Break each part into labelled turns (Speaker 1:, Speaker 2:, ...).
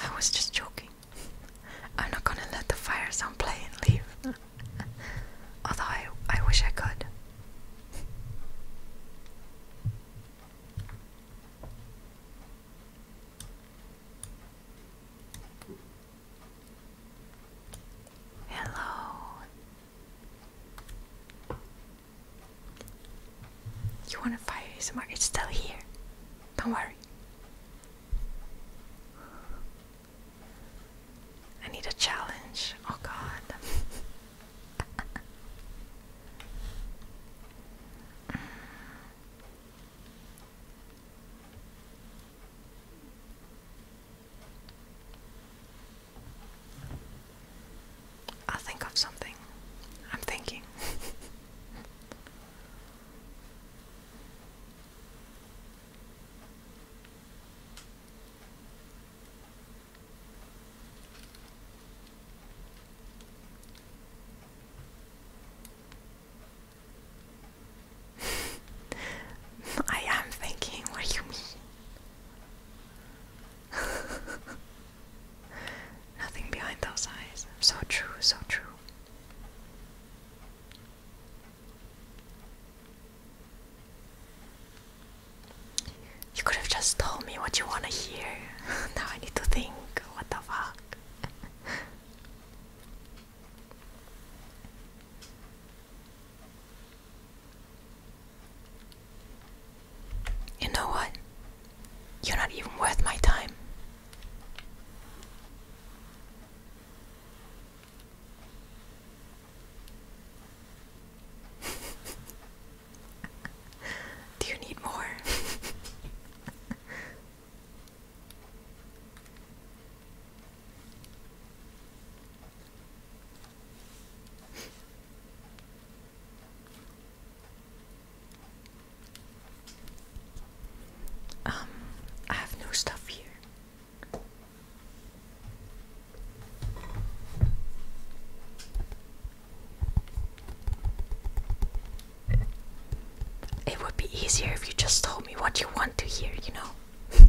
Speaker 1: I was just joking. I'm not gonna let the fire sound play and leave. Although I, I wish I could. Hello, you want to fire ASMR? It's still here. Don't worry. I need a challenge. Oh god. I'll think of something. I'm thinking. I am thinking, what do you mean? Nothing behind those eyes. So true, so true. You could have just told me what you want to hear. now I need to think. What the fuck? You know what? You're not even worth my time. Do you need more? Um, I have no stuff here. It would be easier if you just told me what you want to hear, you know?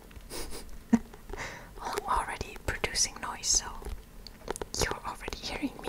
Speaker 1: I'm already producing noise, so you're already hearing me.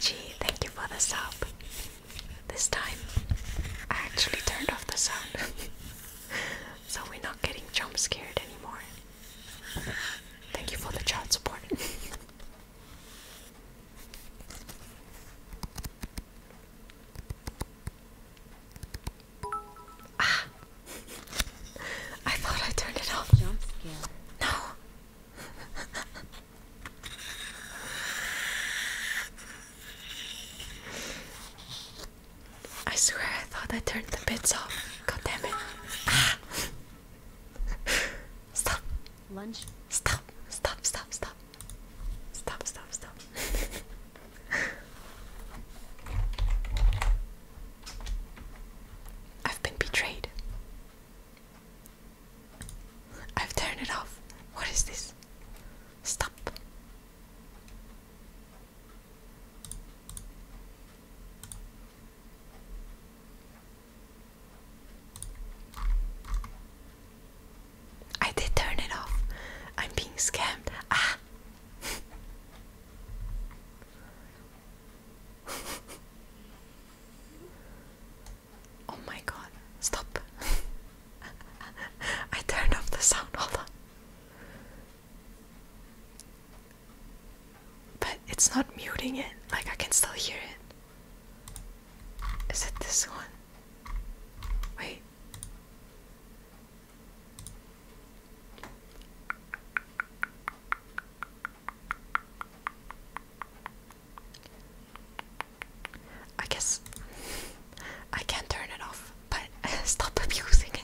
Speaker 1: Gee, thank you for the sub. This time I actually turned off the sound. so we're not getting jump scared anymore. Thank you for the child support. ah! I thought I turned it off. No. I swear I thought I turned the bits off. God damn it. Ah. Stop. Lunch. Stop. Stop. Stop. Stop. Stop. Stop. Stop. I've been betrayed. I've turned it off. What is this? Stop. I did turn it off. I'm being scammed. Ah. Oh my god, stop. I turned off the sound, hold on. But it's not muting it, like I can still hear it. Is it this one? Wait. I guess I can not turn it off, but stop abusing it.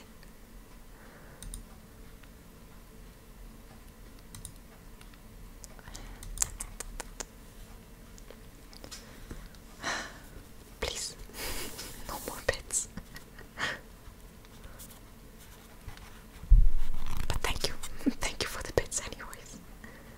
Speaker 1: Please, no more pets. but thank you, thank you for the pets, anyways.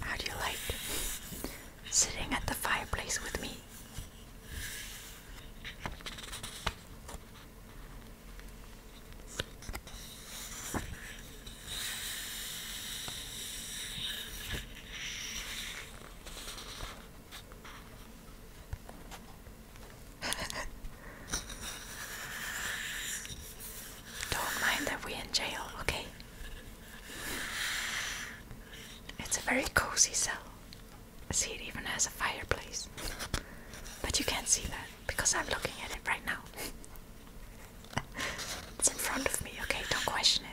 Speaker 1: How do you like sitting at the fireplace with me? Don't mind that we're in jail, okay? It's a very cozy cell. See, it even has a fireplace. But you can't see that because I'm looking at it right now. it's in front of me, okay? Don't question it.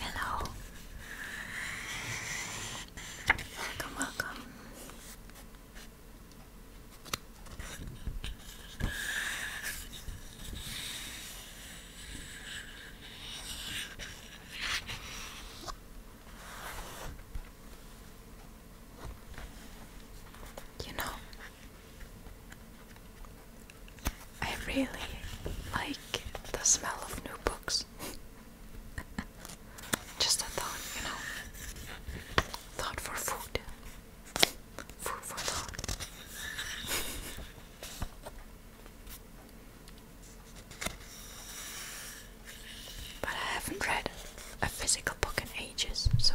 Speaker 1: Hello. Welcome, welcome. You know, I really like the smell of new books. Just a thought, you know. Thought for food. Food for thought. But I haven't read a physical book in ages, so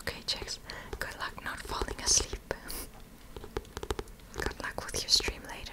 Speaker 1: Okay, Jax, good luck not falling asleep. good luck with your stream later.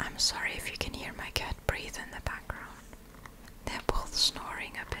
Speaker 1: I'm sorry if you can hear my cat breathe in the background. They're both snoring a bit.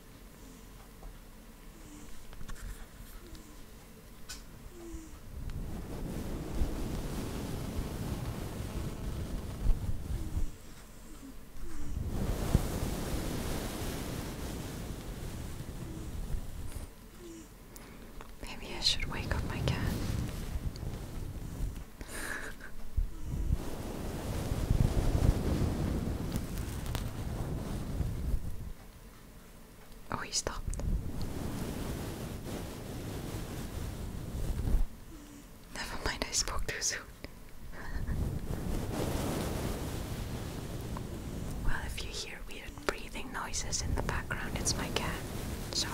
Speaker 1: Maybe I should wake up my cat. Oh, he stopped. Never mind, I spoke too soon. well, if you hear weird breathing noises in the background, it's my cat. Sorry.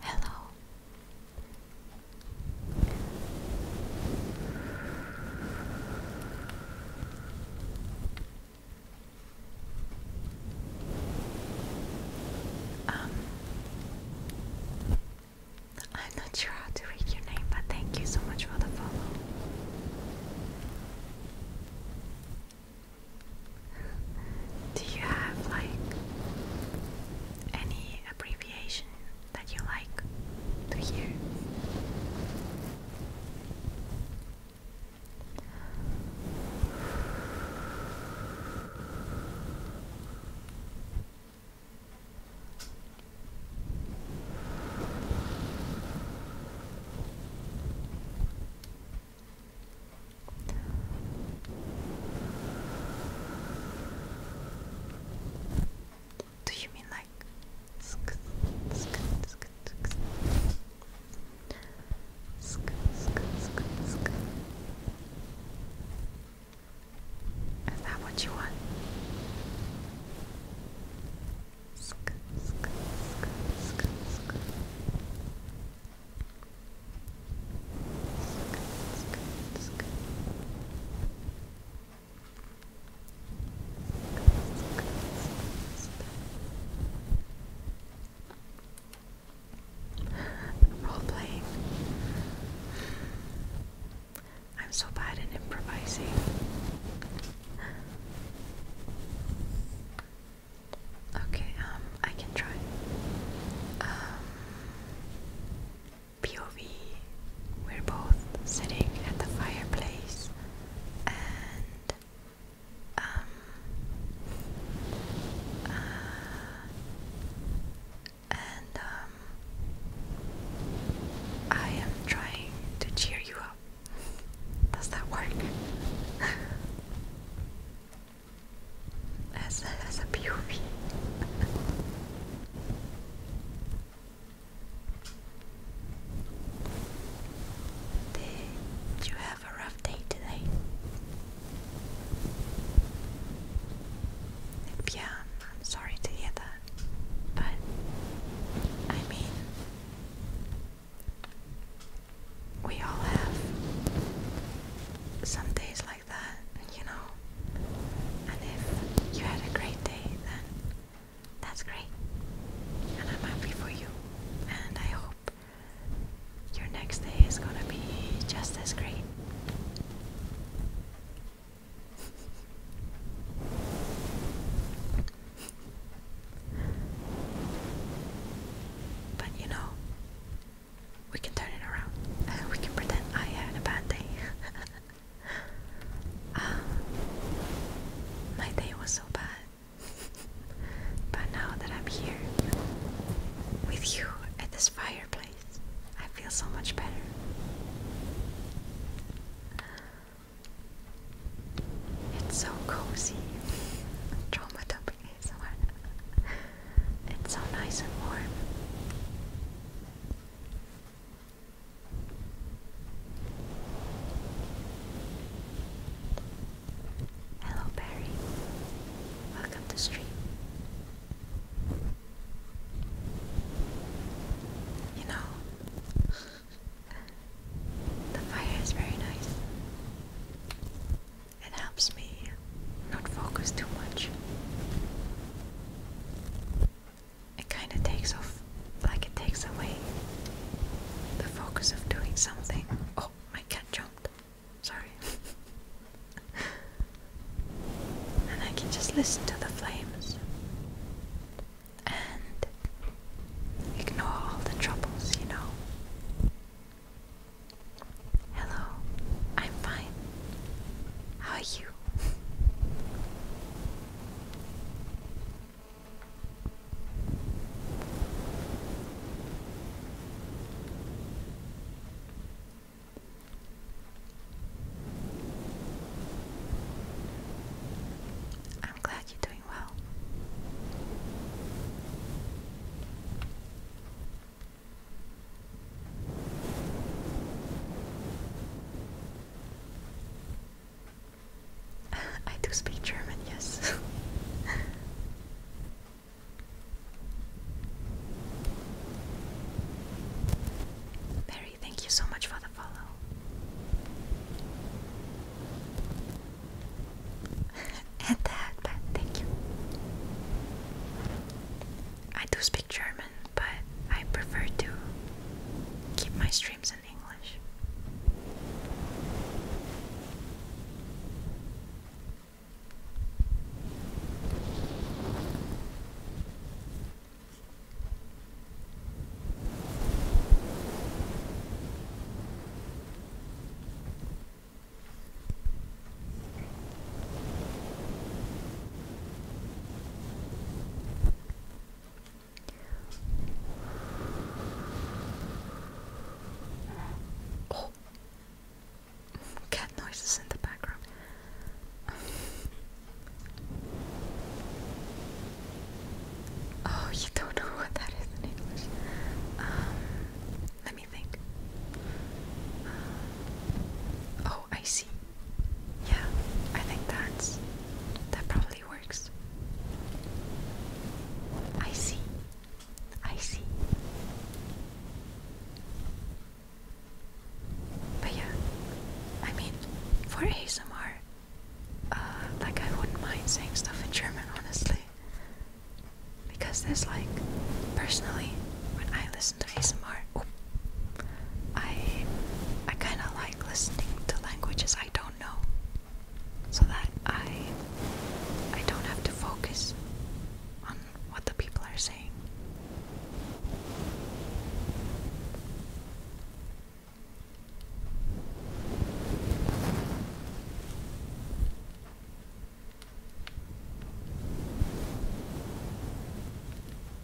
Speaker 1: Hello. Um, I'm not sure how to read your name, but thank you so much for the follow. Do you have like any abbreviation that you like to hear? Do you mean like Is that what you want? Role playing. I'm so bad at improvising. Okay, um, I can try. Um POV. We're both sitting at the fireplace and um uh, and um I am trying to cheer you up. Does that work? as a, as a POV. Did you have a rough day today? Yeah, I'm sorry to hear that, but I mean, we all have some days like that, you know. And if you had a great day, then that's great. And I'm happy for you. And I hope your next day is gonna be just as great. But you know, we can turn it around. Uh, we can pretend I had a bad day. Ah, my day was so bad, but now that I'm here with you at this fireplace, I feel so much better. It's so cozy. Trauma topic is it's so nice and warm. Hello, Barry. Welcome to stream. You know, the fire is very nice. It helps me not focus too much. It kind of takes off, like it takes away the focus of doing something. Oh, my cat jumped. Sorry. and I can just listen to the flames and ignore all the troubles, you know. Hello, I'm fine. How are you? I'm glad you're doing well. I do speak German, yes. Mary, thank you so much for the follow. and that, but thank you. I do speak German but I prefer to keep my streams in English. Oh, cat noises in the background. oh, you don't know what that is in English. Um, let me think. oh, I see. Yeah, I think that's that probably works. I see. I see. But yeah, I mean, for ASMR, uh, like I wouldn't mind saying stuff in German, honestly. Because there's like, personally, when I listen to ASMR, I I kind of like listening to languages I don't know so that I I don't have to focus on what the people are saying.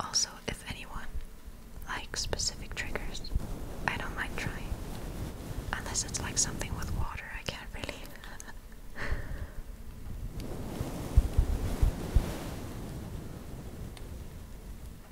Speaker 1: Also, if anyone likes specific triggers, I don't mind trying. Unless it's like something with water, I can't really.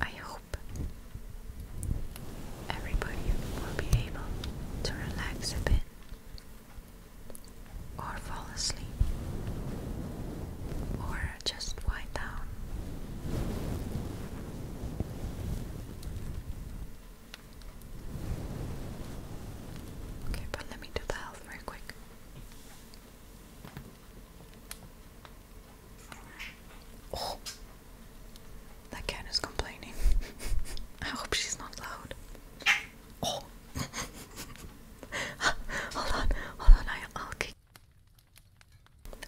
Speaker 1: I hope everybody will be able to relax a bit or fall asleep or just wind down. Okay, but let me do the health very quick. Oh, that cat is complaining. I hope she's not loud. Oh, hold on, hold on. I, will kick.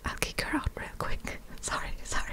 Speaker 1: I'll kick her out real quick. Sorry, sorry.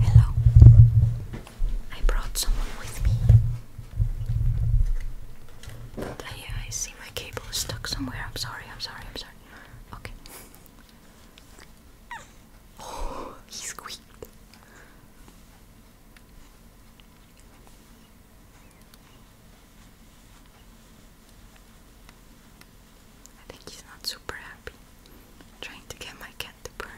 Speaker 1: Hello, I brought someone with me. But I, I see my cable is stuck somewhere. I'm sorry, I'm sorry, I'm sorry. Okay. he squeaked. I think he's not super happy. trying to get my cat to purr.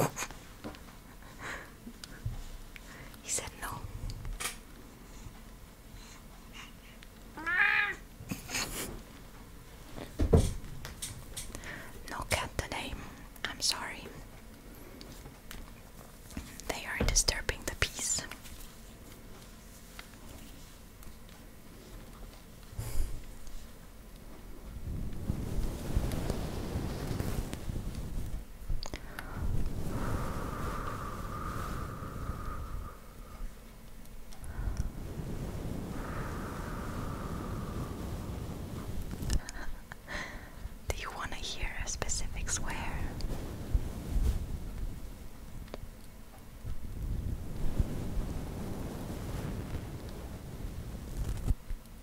Speaker 1: he said no. No cat today. I'm sorry. They are disturbing the peace. Do you want to hear a specific swear?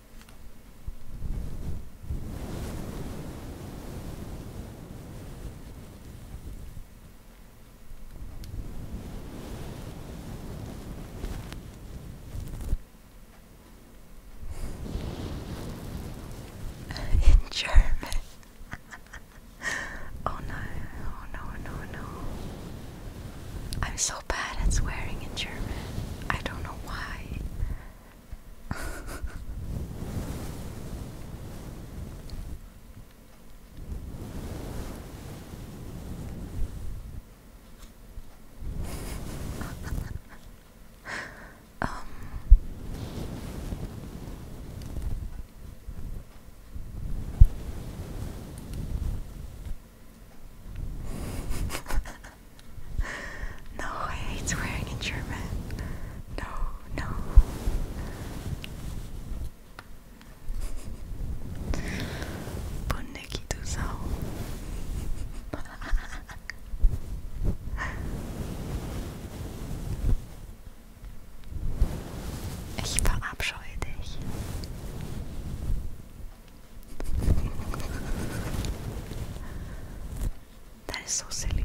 Speaker 1: In German. oh no, oh no, oh no, oh no. I'm so bad at swearing in German. I don't know why. um no, I hate swearing in German. No, no. Bundeki Ich verabscheue dich that is so silly.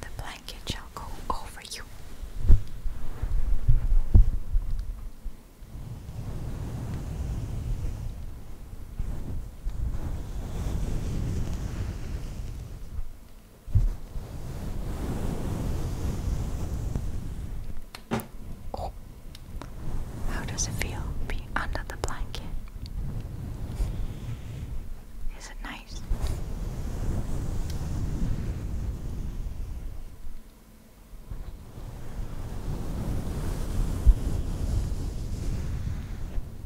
Speaker 1: The blanket shall go over you. How does it feel being under the blanket? Is it nice?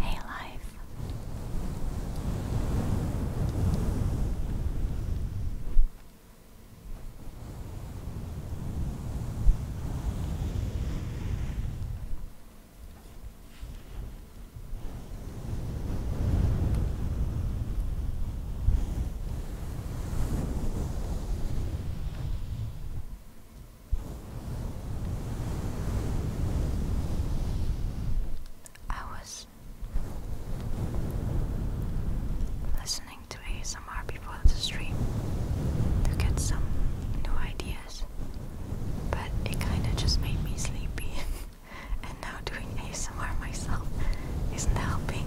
Speaker 1: Hey, life. I was listening to ASMR before the stream to get some new ideas, but it kinda just made me sleepy. and now doing ASMR myself isn't helping.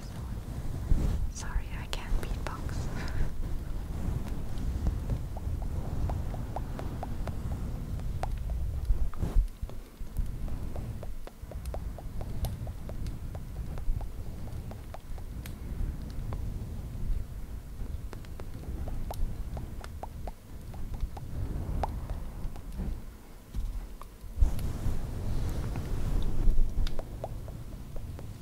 Speaker 1: sorry I can't beatbox.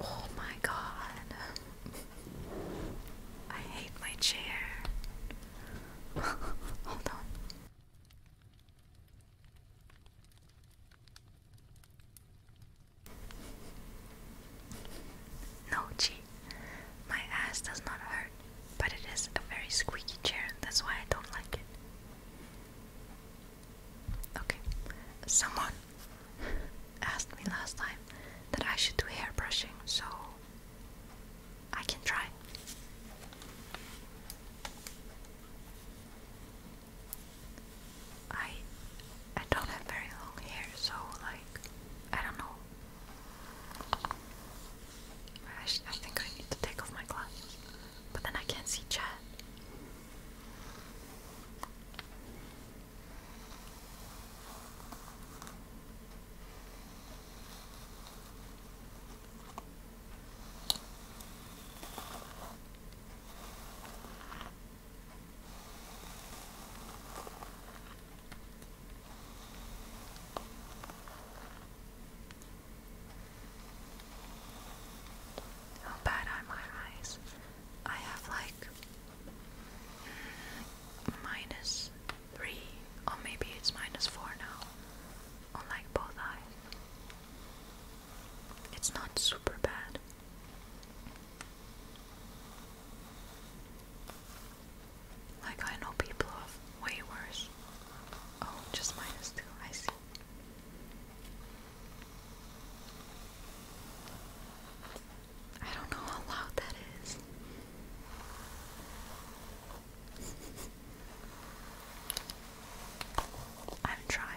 Speaker 1: Oh, my God, I hate my chair. Hold on. No, G. My ass does not hurt, but it is a very squeaky chair, that's why I don't like it. Okay, someone asked me last time that I should do hair brushing, so I can try. I I don't have very long hair, so like I don't know. I, I think I need to take off my glasses, but then I can't see chat. How bad are my eyes? I have like mm, minus three, or maybe it's minus four now, on like both eyes. It's not super bad. Like, I know people have way worse. Oh, just minus two, I see. I don't know how loud that is. I'm trying.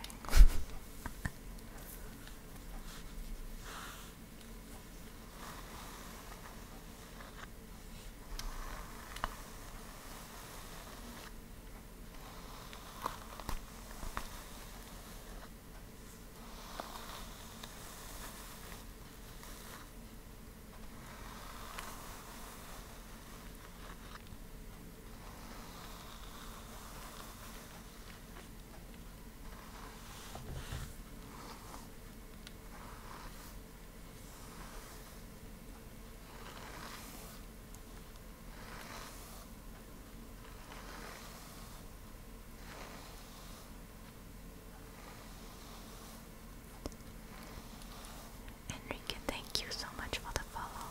Speaker 1: Enrique, thank you so much for the follow.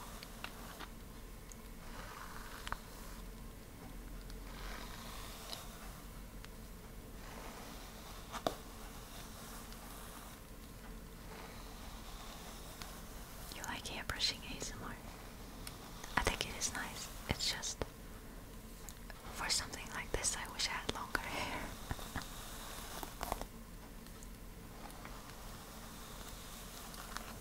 Speaker 1: You like hair brushing ASMR? I think it is nice. It's just for something like this, I wish I had longer hair.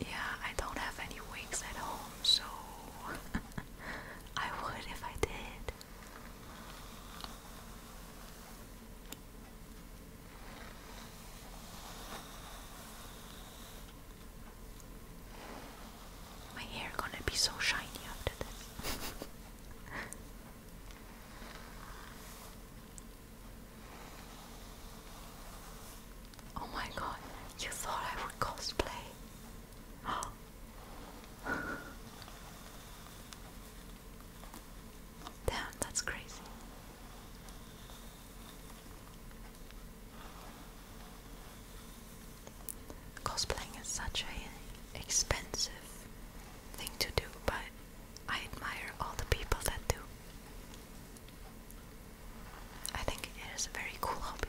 Speaker 1: Yeah, I don't have any wigs at home, so I would if I did. My hair gonna be so shiny after this. oh my god, you thought I would cosplay. Damn, that's crazy. Cosplaying is such an expensive thing to do, but I admire all the people that do. I think it is a very cool hobby.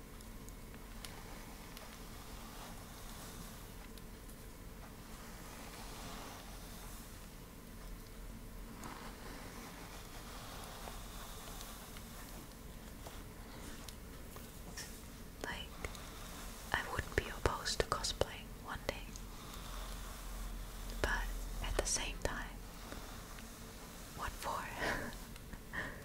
Speaker 1: Like, I wouldn't be opposed to cosplaying one day, but at the same time, what for?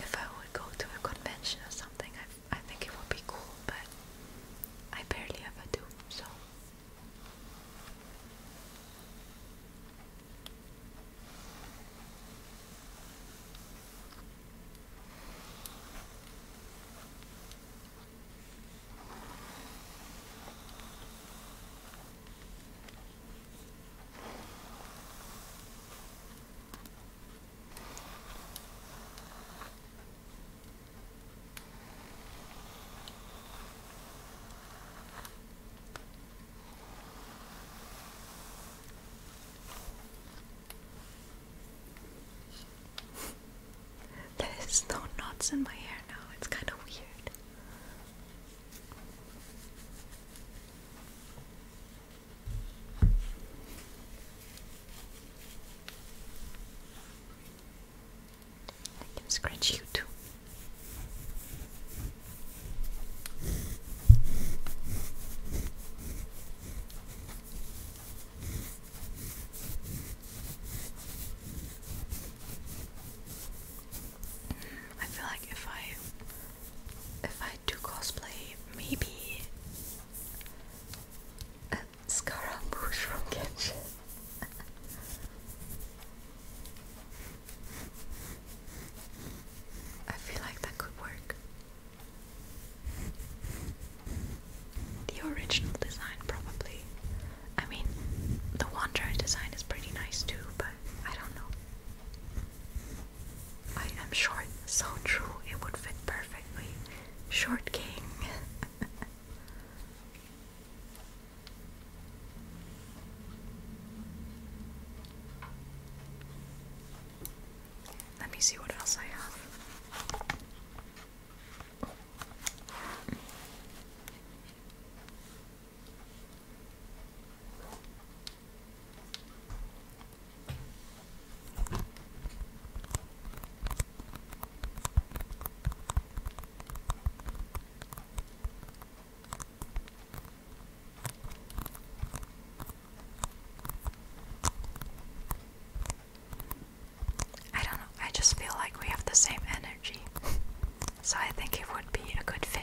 Speaker 1: if I would go to a convention or something, I I think it would be cool, but I barely ever do, so. There's no knots in my hair now, it's kind of weird. I can scratch you too. I feel like if I if I to cosplay maybe a Scaramouche from Genshin. I feel like that could work. The original design, probably. I mean, the Wanderer design is pretty nice too, but I don't know. I am short, so true, it would fit perfectly. Short king. Let me see what else I have. I don't know, I just feel like we have the same energy, so I think it would be a good fit.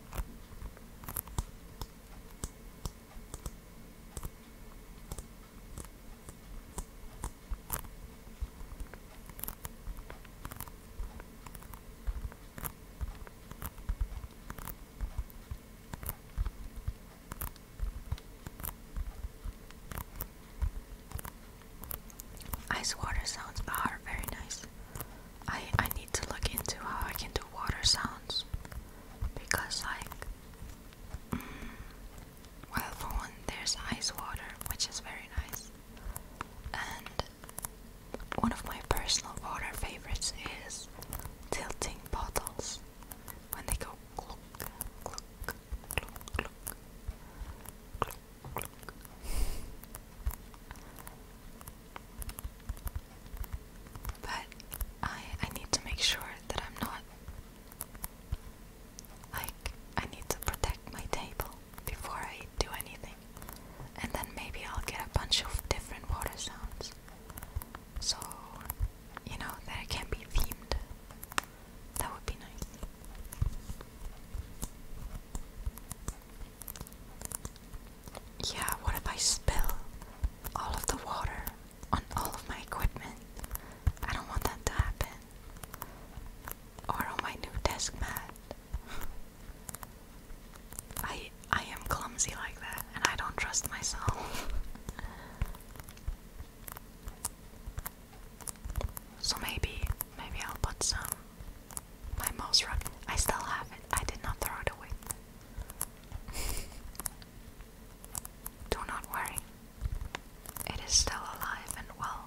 Speaker 1: Ice water sounds are very nice. I I need to look into how I can do water sounds because like mm, well for one there's ice water which is very nice and one of my personal water favorites is tilting bottles when they go glug glug glug glug glug glug but I I need to make sure that I'm not like I need to protect my table before I do anything. And then maybe I'll get a bunch of different water sounds. So you know that it can be themed. That would be nice. Yeah, what if I spill all of the water on all of my equipment? I don't want that to happen. Or on my new desk mat. I I am clumsy like that and I don't trust myself. so maybe maybe I'll put some my mouse run. I still have it. I did not throw it away. Do not worry. It is still alive and well.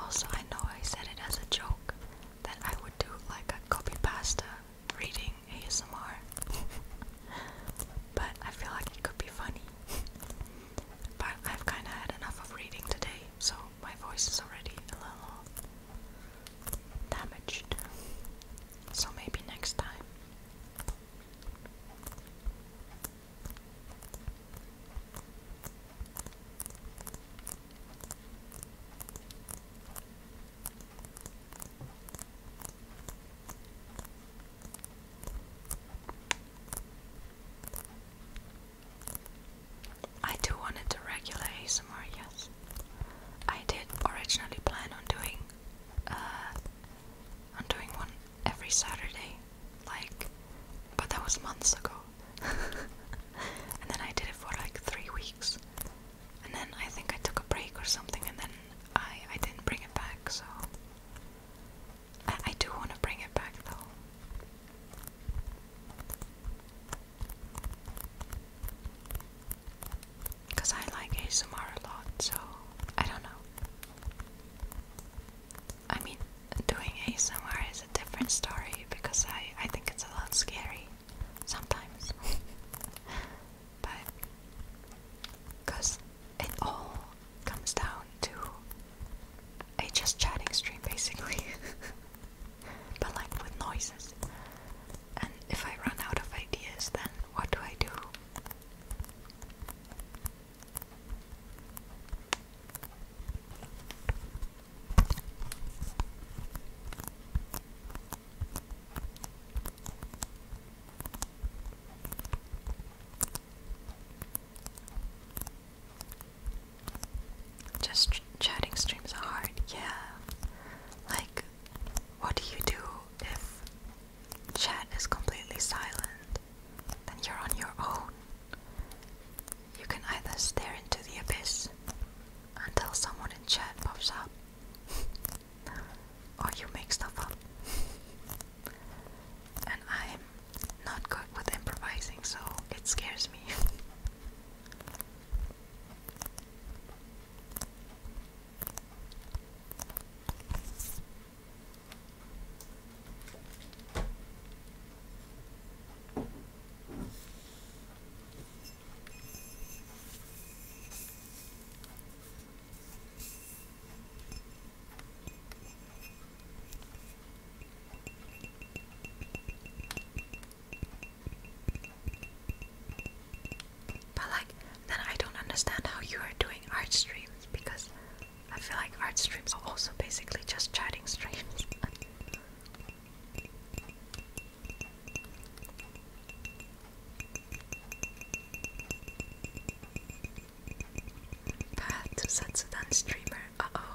Speaker 1: Also, I know I said it as a joke that I would do like a copy pasta reading ASMR, but I feel like it could be funny. But I've kind of had enough of reading today, so my voice is already a little damaged. So maybe next time. I do wanted to regular ASMR, yes. I did originally plan on doing uh on doing one every Saturday, like but that was months ago. and then I did it for like three weeks and then I think I took a break or something, and then I I didn't bring it back. So I, I do want to bring it back though. Because I like ASMR a lot, so I don't know. I mean, doing ASMR is a different story because I, I think it's a lot scary sometimes. but because it all comes down to a just chatting stream basically, but like with noises. And if I run out of ideas, then what do I do? Just chatting streams are hard, yeah. Like, what do you do if chat is completely silent? Then you're on your own. You can either stare into the abyss until someone in chat pops up, or oh, you make stuff up. and I'm not good with improvising, so it scares me. But like, then I don't understand how you are doing art streams because I feel like art streams are also basically just chatting streams. Path to Satsudan streamer. Uh oh.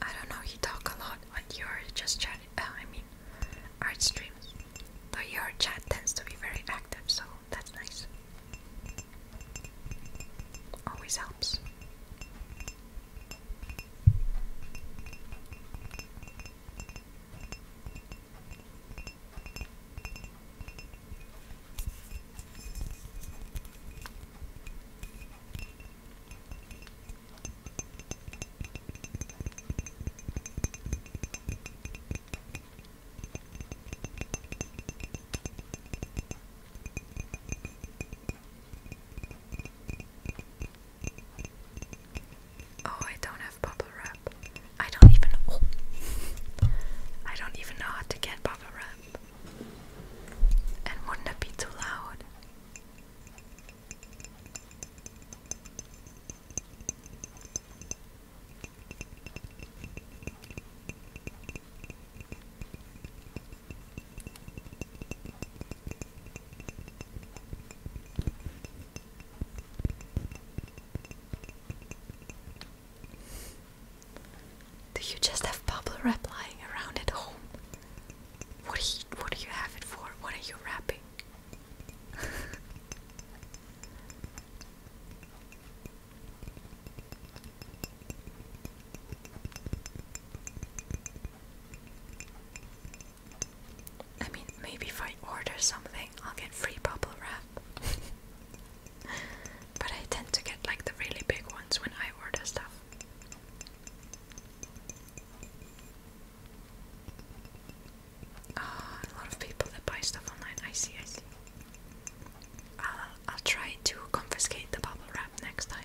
Speaker 1: I don't know, you talk a lot on your just chat, uh, I mean, art streams. Though your chat tends to be very active, so that's nice. Always helps. Oh, I don't have bubble wrap. I don't even. Oh. I don't even know how to get bubble have a ramp. And wouldn't it be too loud? Do you just have bubble wrap lying around at home? What do you, what do you have it for? What are you wrapping? I mean, maybe if I order something, I'll get free bubble wrap. But I tend to get like the really big ones when I order stuff. Oh, a lot of people that buy stuff online. I see, I see. I'll, I'll try to confiscate the bubble wrap next time.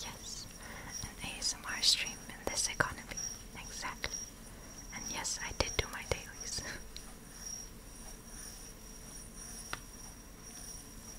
Speaker 1: Yes, an ASMR stream in this economy, exactly. And yes, I did do my dailies.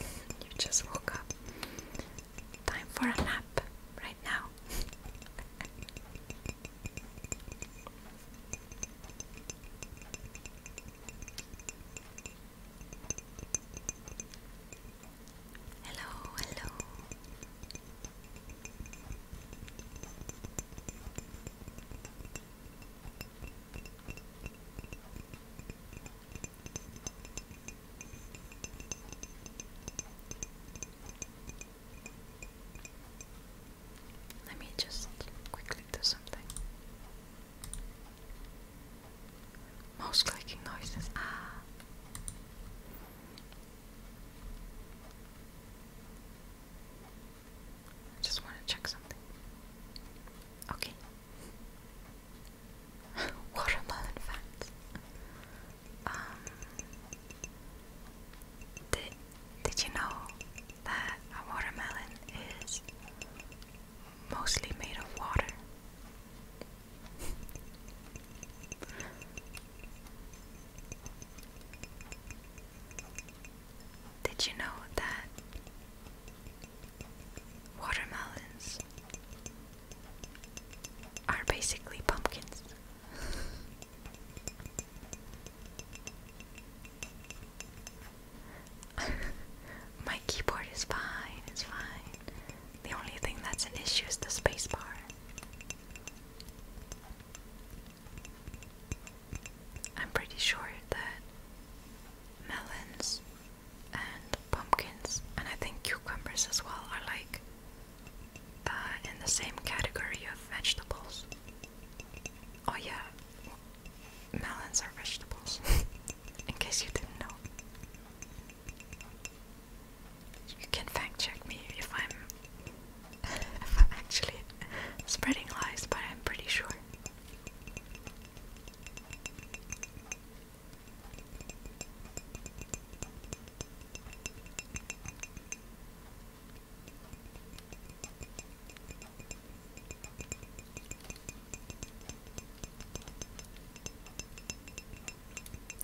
Speaker 1: You just woke up. Time for a nap right now. hello, hello. Let me just quickly do something. Mouse clicking noises. Ah. just want to check something. Okay. Watermelon fans. Um, did, did you know that a watermelon is mostly made of water? did you know that Watermelons are basically pumpkins. My keyboard is fine, it's fine. The only thing that's an issue is the spacebar. I'm pretty sure that melons and pumpkins, and I think cucumbers as well are like uh, in the same category of vegetables. Oh, yeah, melons are vegetables, in case you didn't know. You can fact check me if I'm, if I'm actually spreading lies, but I'm pretty sure.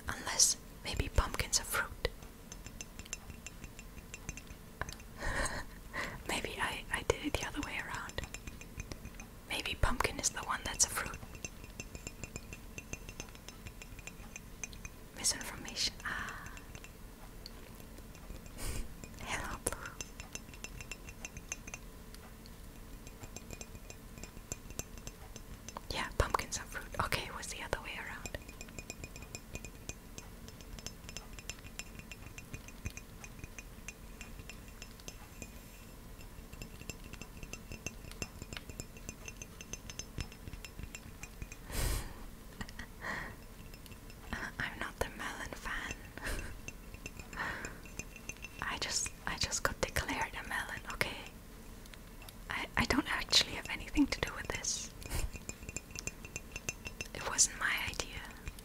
Speaker 1: Unless maybe pumpkins are fruit. maybe I I did it the other way around. Maybe pumpkin is the one that's a fruit. Misinformation. Ah. Hello, Yeah, pumpkins are fruit. Okay, was the other way around. I'm not the melon fan. I just I just got declared a melon, okay? I I don't actually have anything to do with this. it wasn't my idea.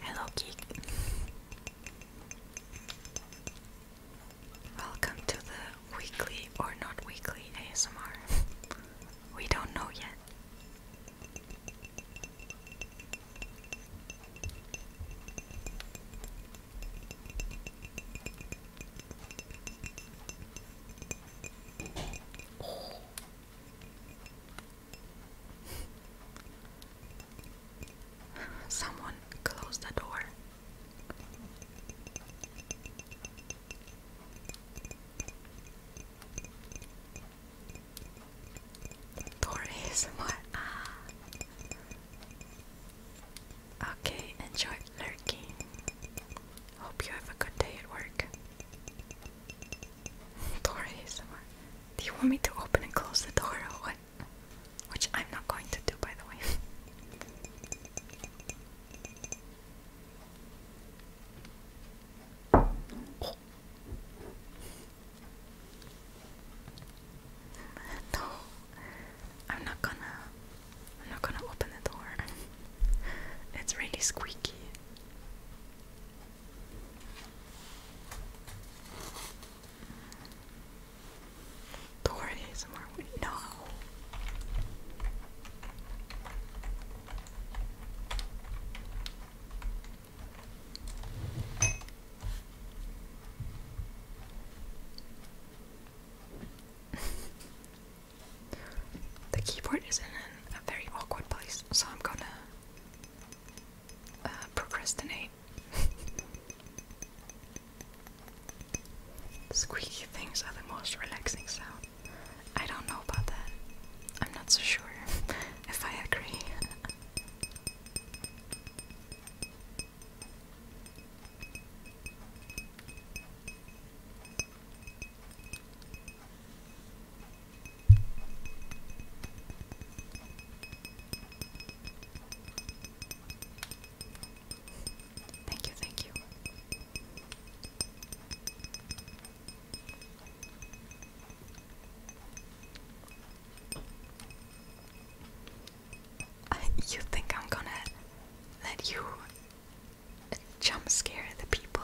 Speaker 1: Hello, Geek. Welcome to the weekly or not weekly ASMR. we don't know yet. Oh. Someone closed the door. For ASMR. Ah. Okay, enjoy lurking. Hope you have a good day at work. For ASMR. Ah. Do you want me to open and close the door or what? Which I'm not going to do, by the way. No, I'm not gonna. I'm not gonna open the door. it's really squeaky. Door ASMR. No. the keyboard is in a very awkward place, so I'm gonna uh, procrastinate. Squeaky things are the most relaxing sound. I don't know about that. I'm not so sure if I agree. Thank you, thank you. You think I'm gonna let you jump scare the people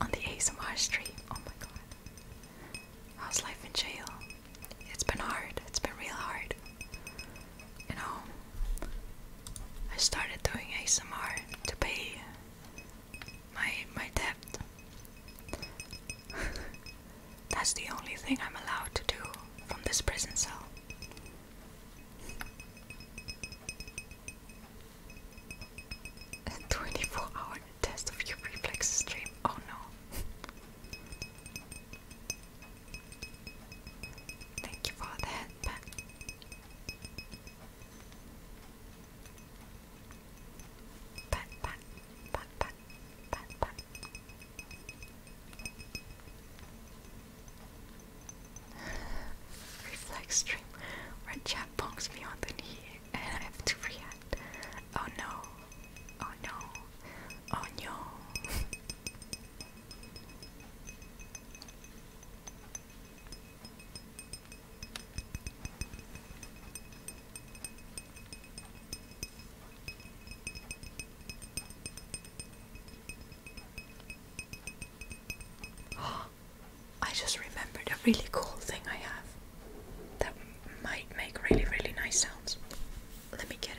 Speaker 1: on the ASMR stream? Oh my god. How's life in jail? It's been hard, it's been real hard. You know, I started doing ASMR to pay my my debt. That's the only thing I'm allowed to do from this prison cell. 24 hour test of your reflex stream. Oh no. Thank you for the Reflex stream where chat bonks me on the knee and I have to react. Oh no. Oh no. Oh no. I just remembered a really cool thing I have that might make really, really nice sounds. Let me get it.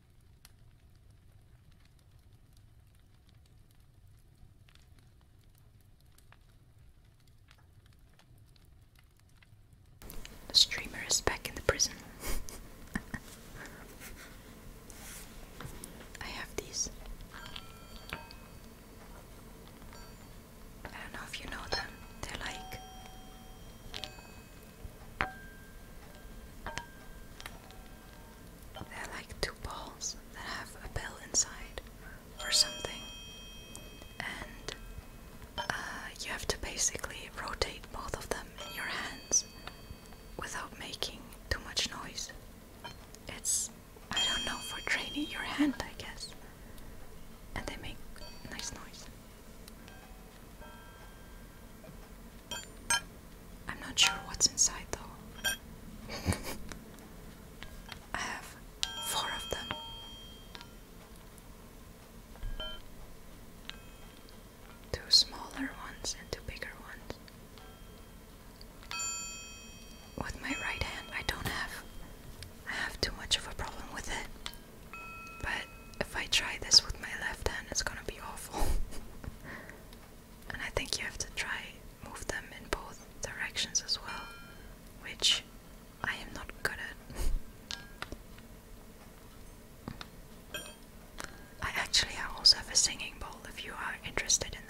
Speaker 1: The streamer is back in the prison. I have these. I don't know if you know them. They're like they're like two balls that have a bell inside or something. And uh, you have to basically rotate both of them in your hands without making too much noise. It's, I don't know, for training your hand, I guess. And they make nice noise. I'm not sure what's inside though. I have four of them. Two smaller ones and two bigger ones. With my right hand, I don't have. I have too much of a problem with it. But if I try this with my left hand, it's gonna be awful. and I think you have to try move them in both directions as well, which I am not good at. I actually also have a singing bowl if you are interested in that.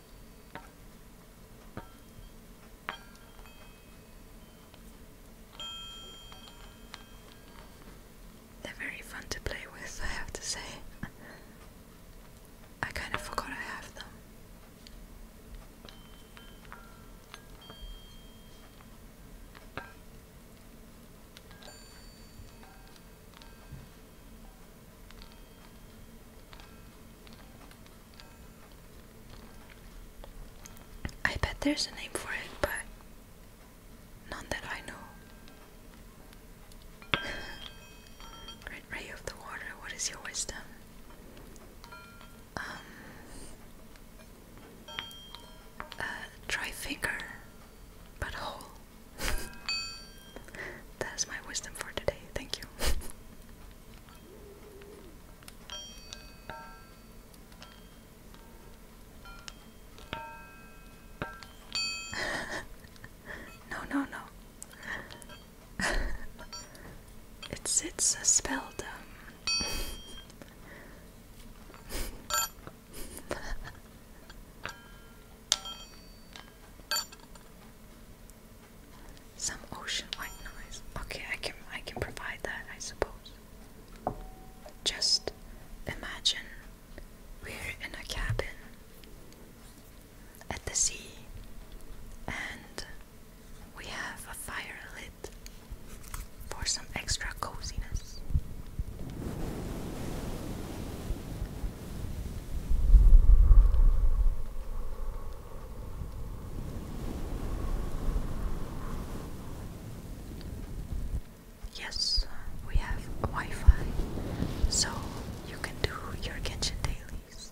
Speaker 1: They're very fun to play with, I have to say. I kind of forgot I have them. I bet there's a name for it, but none that I know. ray of the water, what is your wisdom? Um, uh, try finger, but whole. That's my wisdom for today. Thank you. no, no, no. it's it's a spell some ocean white noise. Okay, I can I can provide that, I suppose. Just imagine we're in a cabin at the sea and we have a fire lit for some extra coziness. Yes, we have Wi Fi, so you can do your kitchen dailies.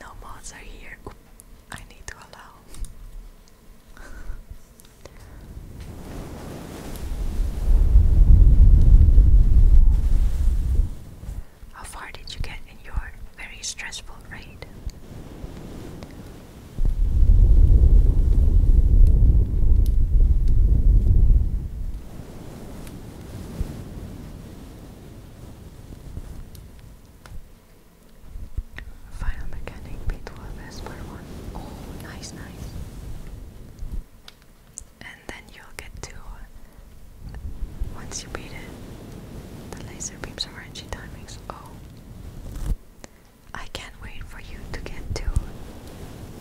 Speaker 1: no mods are here. I need to allow how far did you get in your very stressful raid? Final mechanic B12 S per one. Oh, nice, nice. And then you'll get to once you beat it, the laser beams are energy timings. Oh, I can't wait for you to get to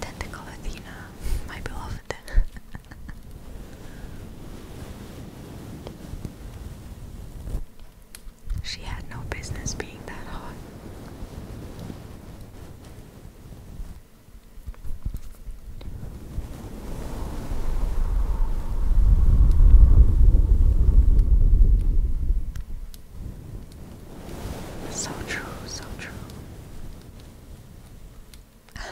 Speaker 1: Tentacle Athena, my beloved. She had no business being that hot. So true, so true.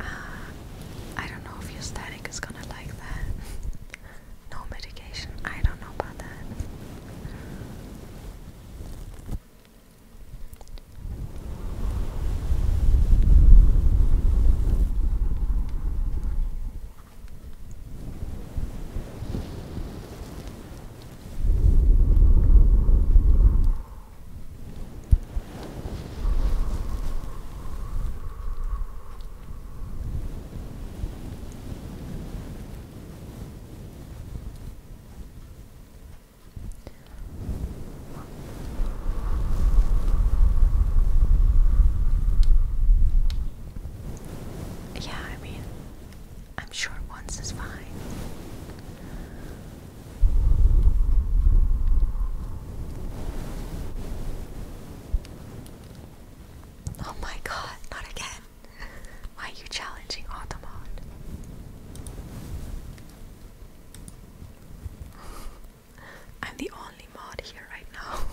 Speaker 1: Ah, I don't know if your static is gonna like that. No medication. I don't know about that. Yeah, I mean, I'm sure once is fine. Oh my god, not again. Why are you challenging Automon? I'm the only mod here right now.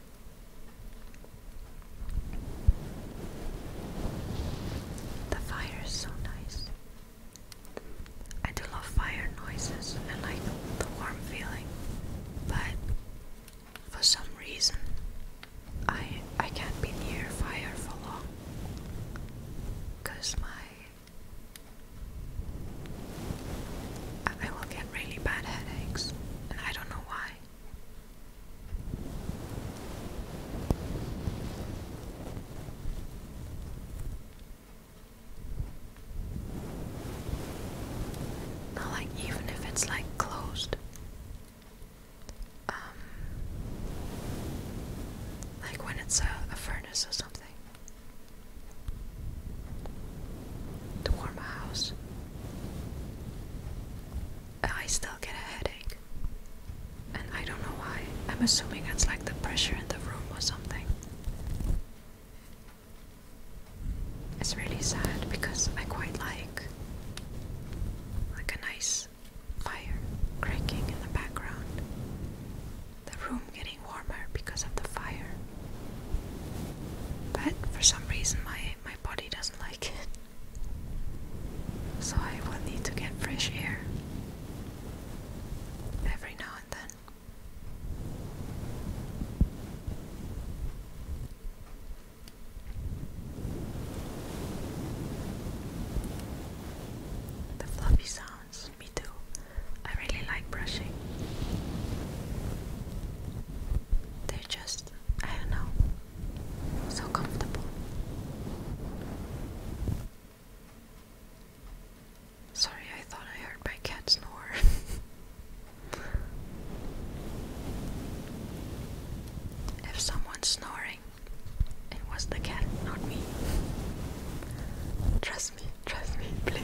Speaker 1: The fire is so nice. I do love fire noises and like the warm feeling, but for some reason I I can't be near fire for long cuz my I will get really bad headaches, and I don't know why. Not like even if it's like closed. Um, like when it's a, furnace or something to warm a house. I still get a headache, and I don't know why. I'm assuming it's like the pressure in the room or something. It's really sad because I quite like like a nice fire cracking in the background. The room getting warmer because of the fire. But for some reason my my body doesn't like it. So I will need to get fresh air every now and then. The fluffy sounds, me too. I really like brushing. They're just, I don't know, so comfortable. Sorry, I thought I heard my cat snore. if someone's snoring, it was the cat, not me. Trust me, trust me, please.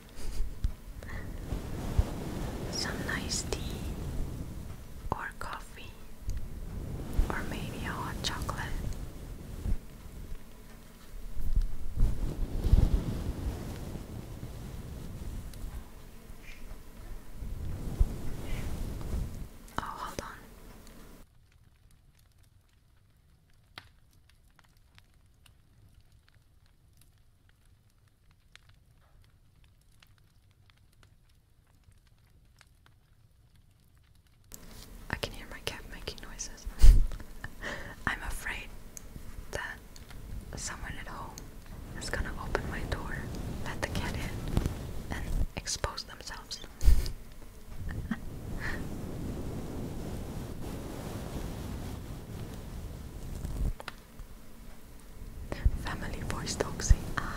Speaker 1: some nice tea or coffee or maybe a hot chocolate. Oh, hold on. I can hear my cat making noises. I'm afraid that someone at home is gonna open my door, let the cat in, and expose themselves. Family voice doxy. Ah.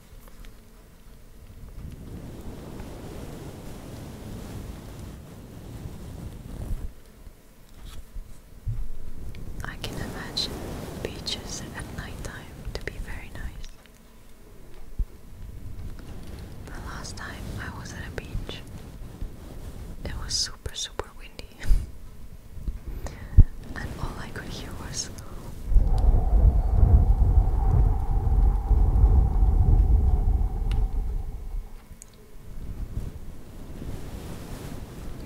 Speaker 1: I can imagine beaches at night to be very nice. The last time I was at a beach, it was super, super windy, and all I could hear was we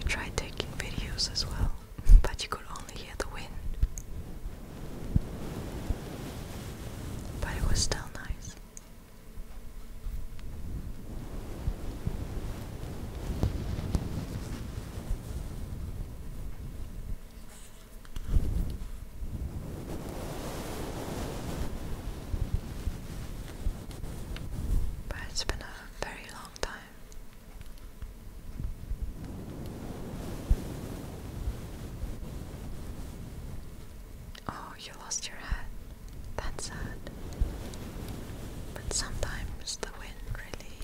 Speaker 1: tried taking videos as well, but you could only hear the wind. But it was still nice. But it's been a very long time. Oh, you lost your hat. That's sad. But sometimes the wind really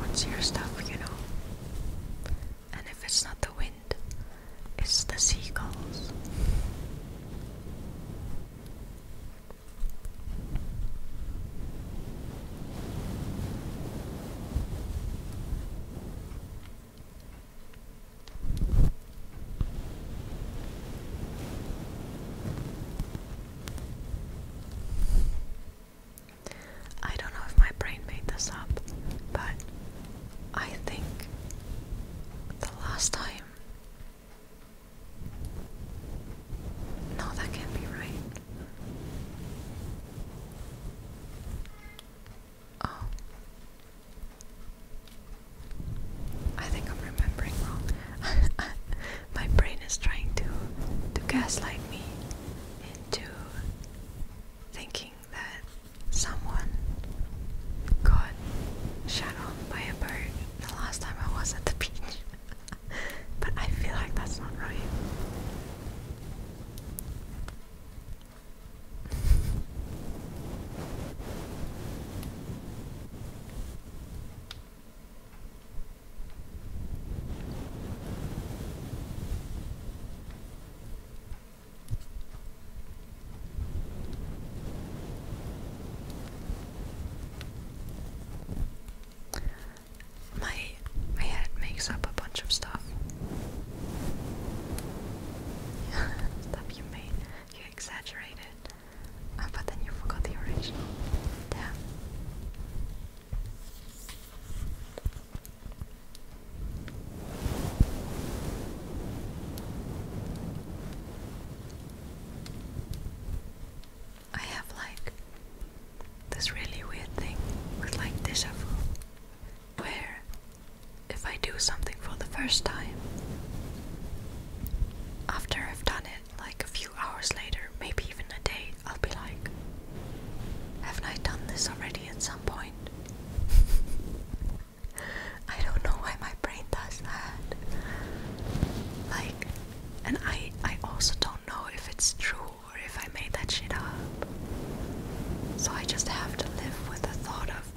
Speaker 1: wants your stuff, you know. And if it's not the wind, it's the seagulls. I don't know if my brain made this up, but I think the last time. No, that can't be right. Oh. I think I'm remembering wrong. My brain is trying to to gaslight me into thinking that someone got shot on by a bird the last time I was at the beach. but I feel like that's not right. My my head makes up a bunch of stuff. stuff you made, you exaggerated, ah, but then you forgot the original. Damn. I have like this really weird thing with like deja where if I do something for the first time after I've done it like a few hours later, maybe even a day I'll be like, haven't I done this already at some point? I don't know why my brain does that. Like, and I I also don't know if it's true or if I made that shit up. So I just have to live with the thought of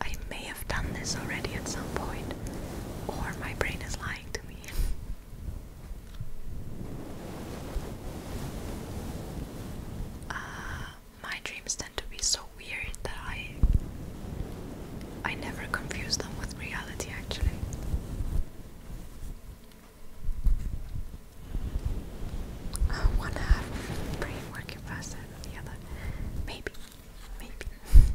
Speaker 1: I may have done this already at some point, or my brain is lying to me. Uh, my dreams tend to be so weird that I I never confuse them with reality actually. Uh, one half brain working faster than the other. Maybe. Maybe.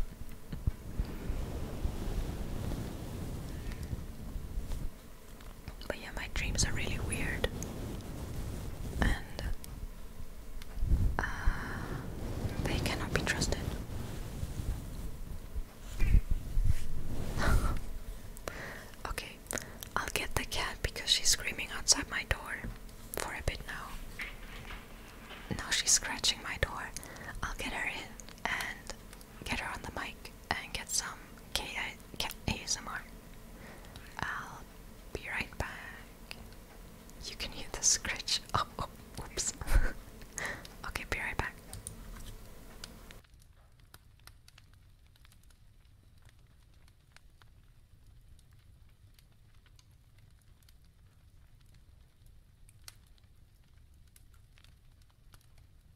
Speaker 1: But yeah, my dreams are really weird. And uh, they cannot be trusted. okay, I'll get the cat because she's screaming outside my door for a bit now. Now she's scratching my door. I'll get her in and get her on the mic and get some K ASMR. I'll be right back. You can hear the scratch. Oh, oh okay, be right back.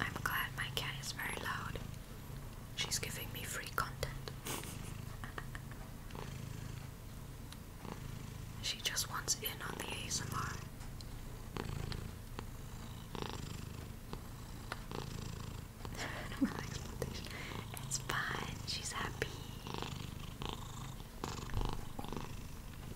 Speaker 1: I'm glad my cat is very loud. She's giving me free content. she just wants in on the ASMR. it's fine, she's happy.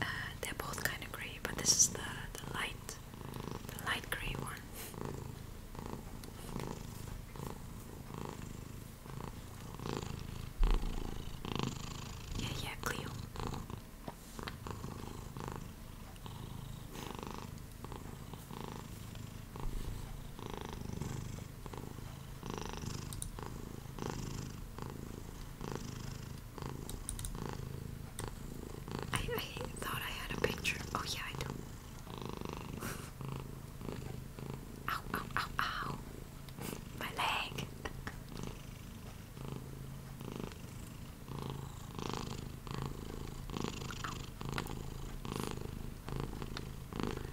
Speaker 1: Uh, they're both kind of grey, but this is the the light, the light grey one. Yeah, yeah, Cleo. I, I thought I had a picture. Oh, yeah, I do. Ow, ow, ow, ow. My leg.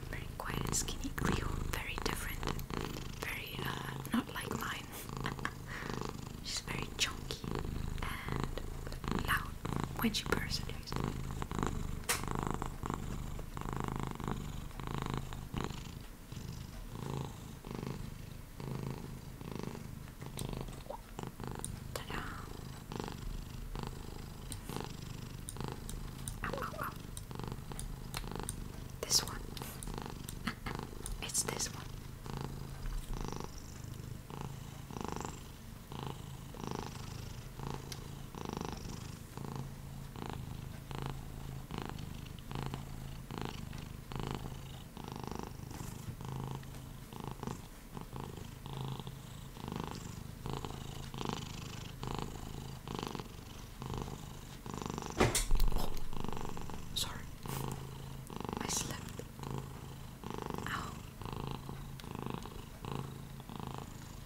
Speaker 1: Very quiet skinny Cleo, very different, very uh, not like mine. She's very chunky and loud when she bursts guys. Ta-da! Ow, ow, ow. This one. it's this one. Sorry, I slept. Ow.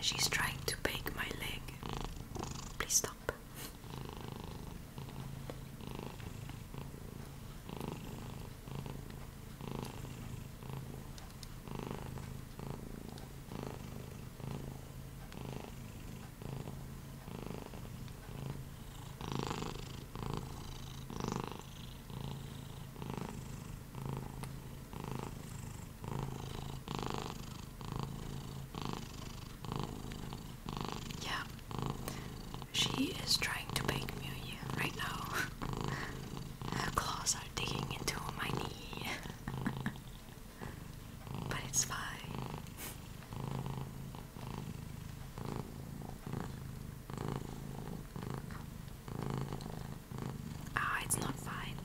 Speaker 1: She's trying to bake my leg. Please stop. Yeah, she is trying to bake me right now. Her claws are digging into my knee, but it's fine. Ah, it's not fine.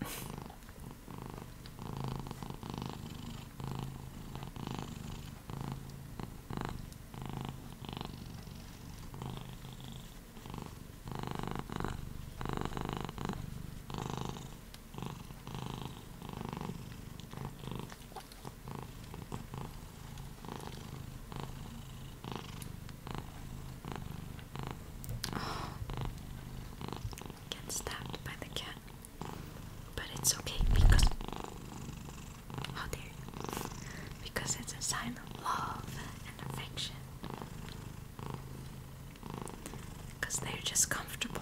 Speaker 1: get stabbed by the cat, but it's okay because how dare Because it's a sign of love and affection. Because they're just comfortable.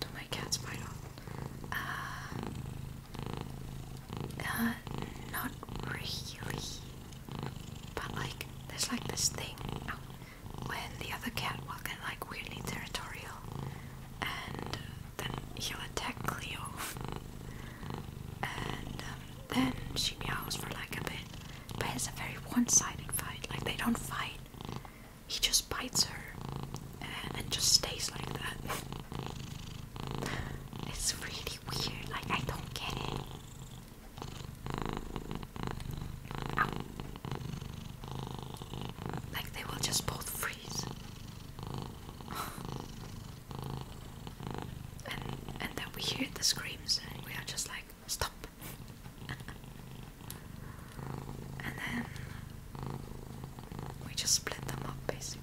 Speaker 1: do my cats bite off. Uh, uh, not really. But like, there's like this thing when the other cat will get like weirdly territorial, and then he'll attack Cleo. And um, then she meows for like a bit, but it's a very one-sided fight. Like they don't fight. He just bites her and, and just stays like that. it's really weird. Like I don't get it. Like they will just both freeze. And, and then we hear the screams and we are just like, stop. and then we just split them up basically.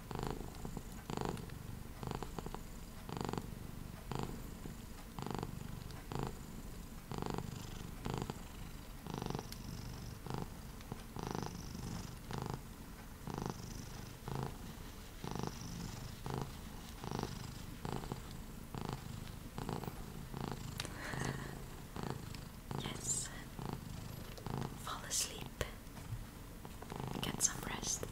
Speaker 1: Yes. Fall asleep. Get some rest.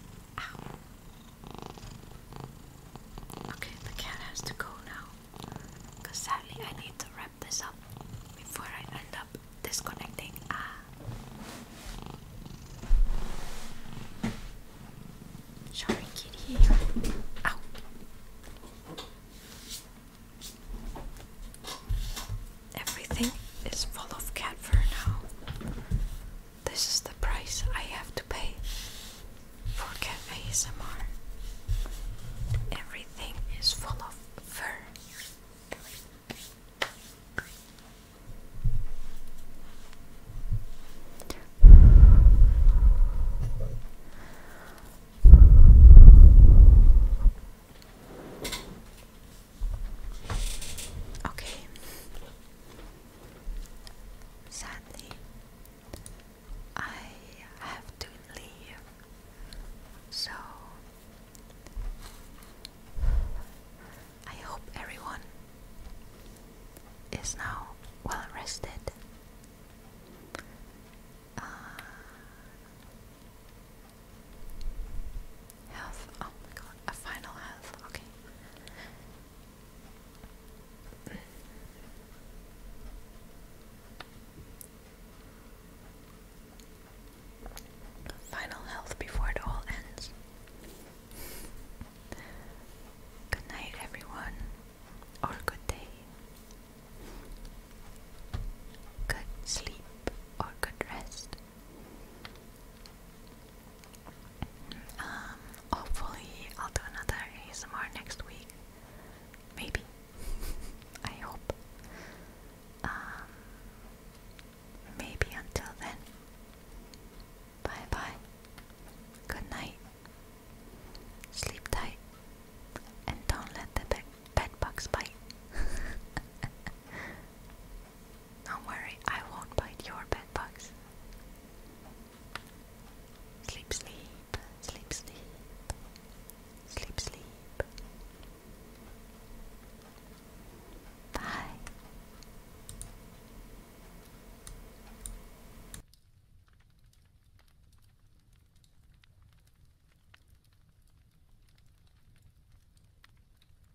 Speaker 1: Okay, the cat has to go now. Because sadly, I need to wrap this up before I end up disconnecting. Ah. Sorry, kitty. Ow. Everything is full of cat fur now. This is the price I have to pay for cat ASMR. Everything is full of fur. Okay. Sadly, I have to leave. So, I hope everyone is now well rested. Uh, Health. Oh my god. A final health. Okay. Final health before it all ends. Good night, everyone. Or good day. Good sleep or good rest. Um, hopefully, I'll do another ASMR next week. Maybe. I hope. Um, maybe until then. Bye bye. Good night. Sleep tight. And don't let the bed bugs bite. Don't worry, I won't bite your bedbugs. Sleep, sleep, sleep, sleep, sleep, sleep. Bye.